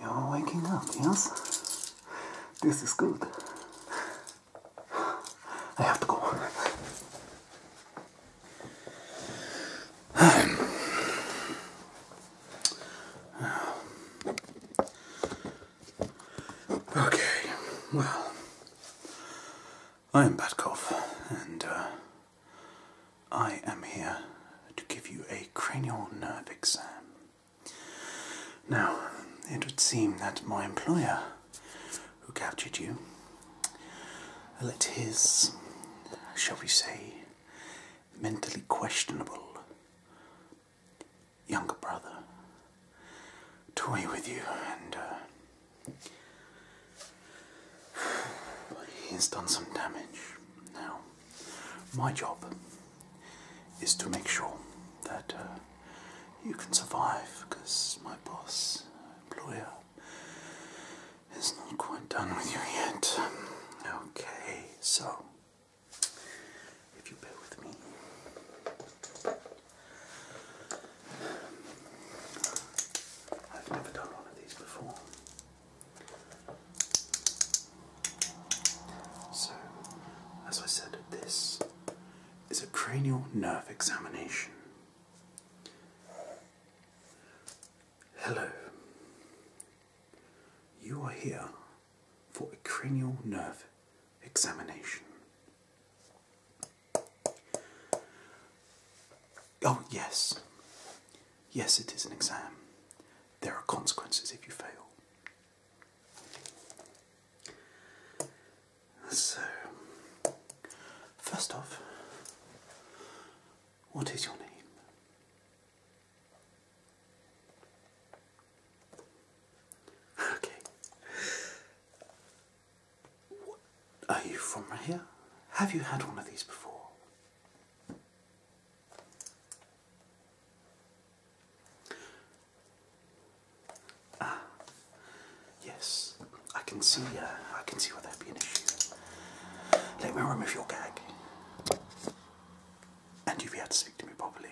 You're waking up, yes? This is good. I have to go. okay, well, I am Batkov, and uh, I am here to give you a cranial nerve exam. Now, it would seem that my employer, who captured you, let his, shall we say, mentally questionable younger brother toy with you and uh, He's done some damage. Now, my job is to make sure that uh, you can survive because my boss, employer, is not quite done with you yet. Okay, so if you bear with me. I've never done one of these before. So, as I said, this is a cranial nerve examination. Hello. You are here for a cranial nerve examination. Oh, yes. Yes, it is an exam. There are consequences if you fail. So, first off, what is your name? Okay are you from here? Have you had one of these before? Ah, yes. I can see. Uh, I can see where that would be an issue. Let me remove your gag, and you'll be able to speak to me properly.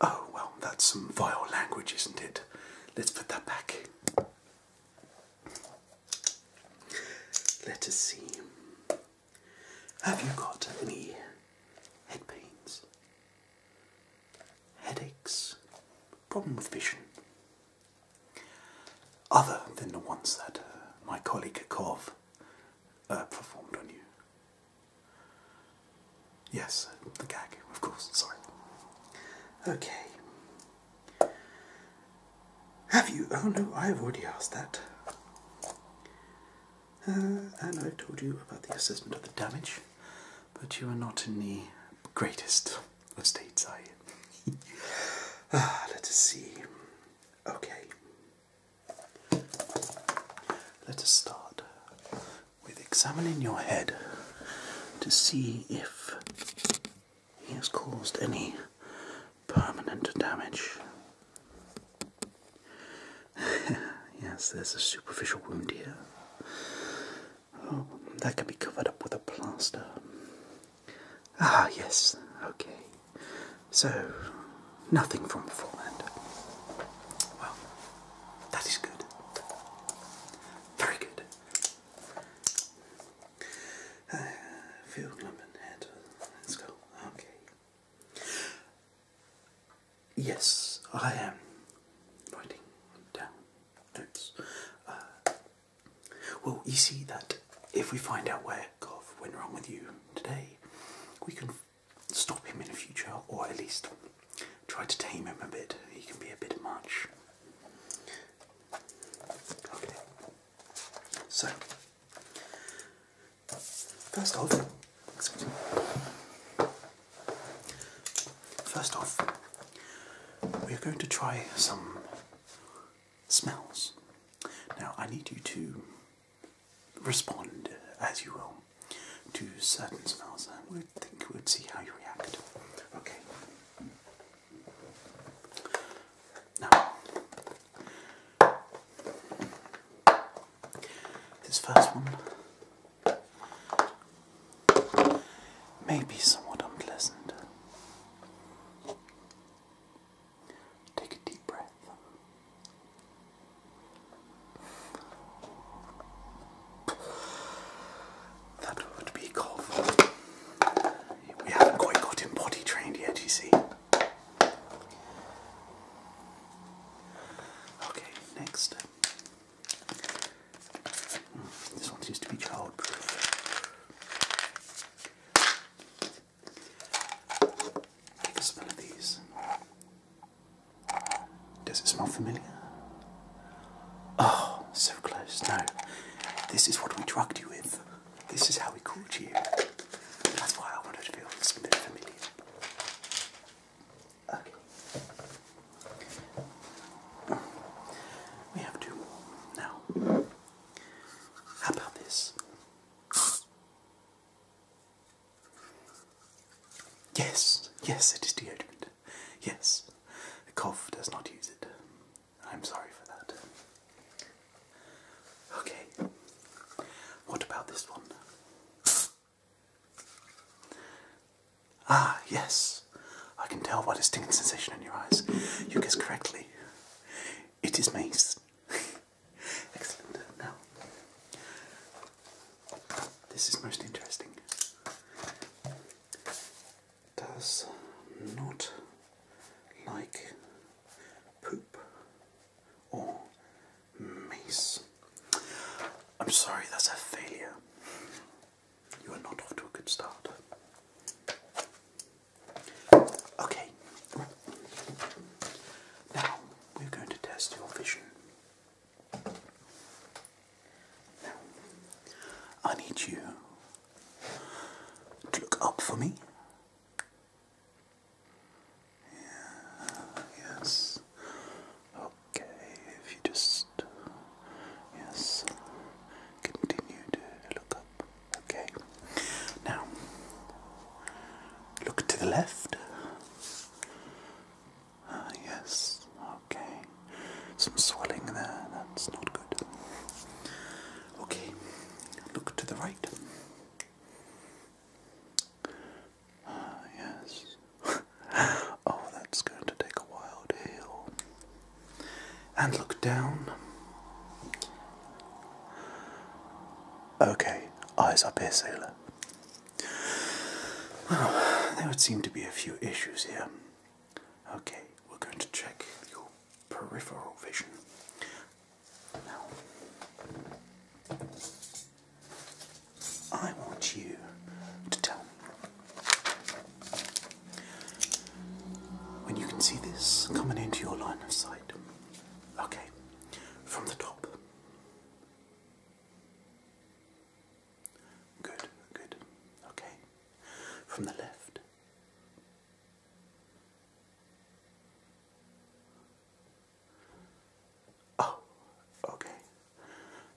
Oh, well, that's some vile language, isn't it? Let's put that back. Let us see. Have you got any head pains? Headaches? Problem with vision? Other than the ones that uh, my colleague Kov uh, performed on you? Yes, the gag, of course, sorry. Okay. Have you? Oh no, I have already asked that. Uh, and I've told you about the assessment of the damage, but you are not in the greatest of states, are you? Ah, let us see. Okay. Let us start with examining your head to see if he has caused any permanent damage. yes, there's a superficial wound here. Oh, that can be covered up with a plaster. Ah, yes, okay. So, nothing from beforehand. Well, that is good. Very good. field uh, lemon head. Let's go. Okay. Yes, I am writing down notes. Uh, well, you see that if we find out where Gov went wrong with you today, we can stop him in the future, or at least try to tame him a bit. He can be a bit much. Okay. So, first off, First off, we're going to try some smells. Now, I need you to respond, as you will, to certain smells. I would think we'd see how you react. Okay. Now, this first one may be somewhat unpleasant. Take a deep breath. That would be called We haven't quite got him body trained yet, you see. Okay, next. Hmm, this one seems to be childproof. Take a smell of these. Does it smell familiar? Oh, so close. No, this is what we drugged you with. This is how we caught you. That's why I wanted to feel this bit familiar. we have two now. How about this? Yes, yes, it is deodorant. Yes, the cough does not use it. I'm sorry for that. Okay, what about this one? Ah, yes, I can tell by the stinging sensation in your eyes. You guess correctly. It is mace. Excellent. Now, this is most interesting. Does not like poop or mace. I'm sorry, that's a failure. You are not off to a good start. Okay, now we're going to test your vision. Now, I need you to look up for me. yes. Okay, if you just. Yes. Continue to look up. Okay. Now, look to the left. Ah, yes. Okay. Some swelling there. That's not good. Okay. Look to the right. Ah, yes. oh, that's going to take a while to heal. And look down. Okay, eyes up here, sailor. Well, there would seem to be a few issues here. Okay, we're going to check your peripheral vision. Now, I want you to tell me when you can see this coming into your line of sight. Okay, from the top. Good, good. Okay, from the left. Oh, okay.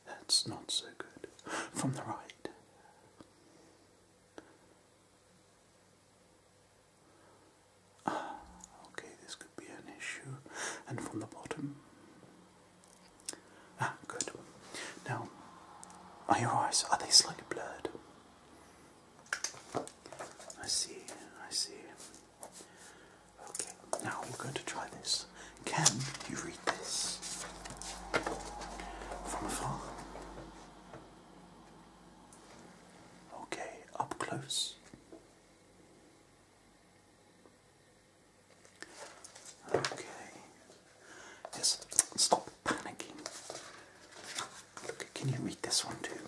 That's not so good. From the right. Ah, okay, this could be an issue. And from the bottom. Ah, good. Now, are your eyes, are they slightly blurred? I see, I see. Okay, now we're going to try this. Can you read this? From afar? Okay, up close. Okay. Yes, stop panicking. Look, can you read this one too?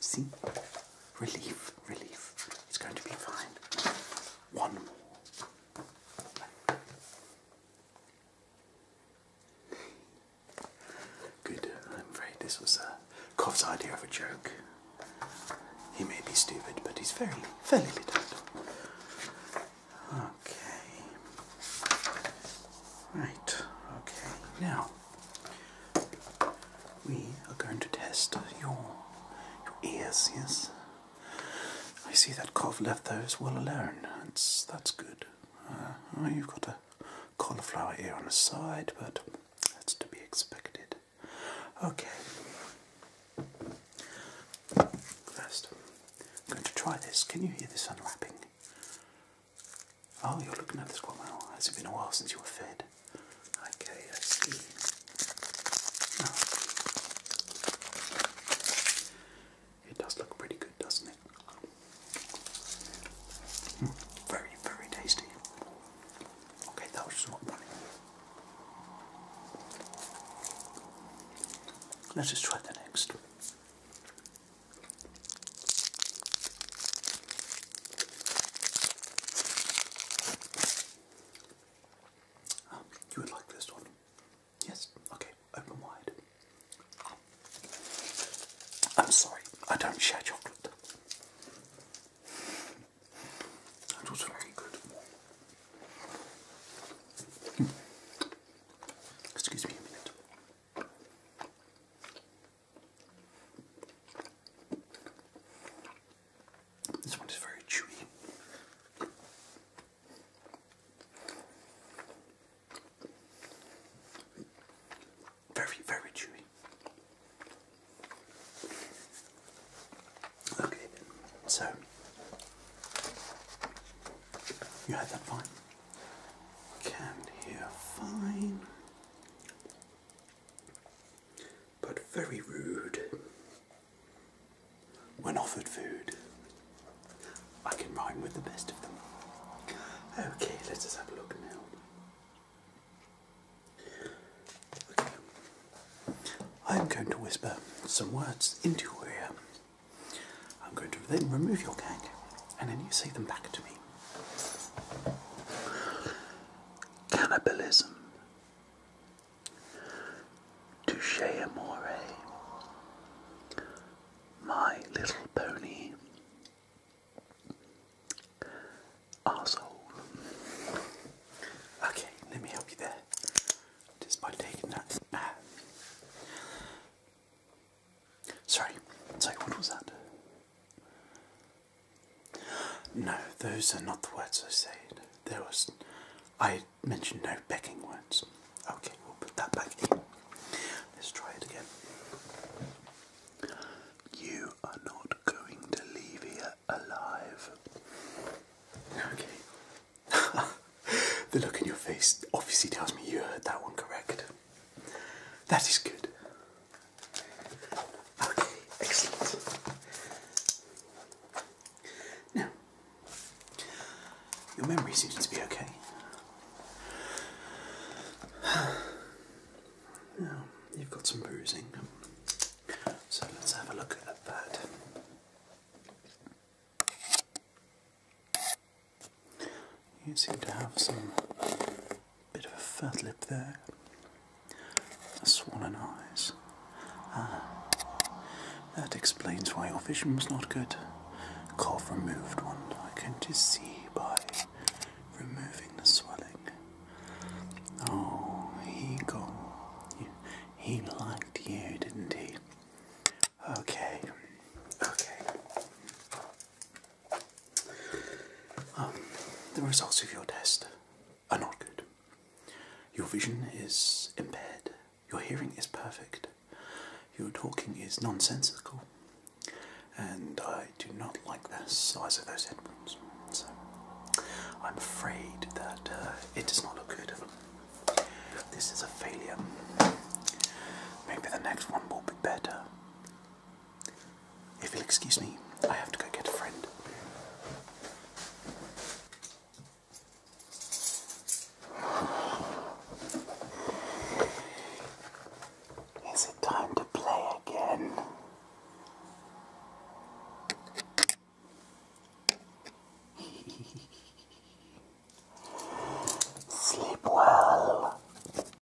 See? Relief, relief. It's going to be fine. One more. Good. I'm afraid this was uh, Koff's idea of a joke. He may be stupid, but he's very, fairly lit Okay. Right. Okay. Now we are going to test your your ears. Yes. I see that cough left those well alone. That's that's good. Uh, oh, you've got a cauliflower ear on the side, but that's to be expected. Okay. First, I'm going to try this. Can you hear this unwrapping? Oh, you're looking at this quite well. Has it been a while since you were fed? Okay, I see it does look pretty good, doesn't it? Hmm, very, very tasty. Okay, that was not funny. Let's just try the next. Um, you would like this one? Yes? Okay, open wide. I'm sorry, I don't share chocolate. That was very good. Hmm. Excuse me a minute. This one is very chewy. Very, very chewy. Okay, so you had that fine. Can hear fine but very rude when offered food. I can rhyme with the best of them. Okay, let us have a look now. Okay. I'm going to whisper some words into your ear. I'm going to then remove your gag and then you say them back to me. Cannibalism Touche Amore, My Little Pony, Arsehole. Okay, let me help you there, just by taking that. Ah. Sorry, sorry, what was that? No, those are not the words I said. There was, I mentioned no begging words. Okay, we'll put that back Let's try it again. You are not going to leave here alive. Okay. the look in your face obviously tells me you heard that one correct. That is good. Okay, excellent. Now, your memory seems to be okay. Now, you've got some bruising, so let's have a look at that. You seem to have some Bit of a fat lip there. Swollen eyes. Ah, that explains why your vision was not good. Cough removed one. I can just see by removing the swelling. Oh, he got. He liked you, didn't he? Okay. Okay. Um, the results of your test are not good. Your vision is impaired, your hearing is perfect, your talking is nonsensical, and I do not like the size of those headphones. So I'm afraid that uh, it does not look good. This is a failure. Maybe the next one will be better. If you'll excuse me, I have to go get a friend. Is it time to play again? Sleep well.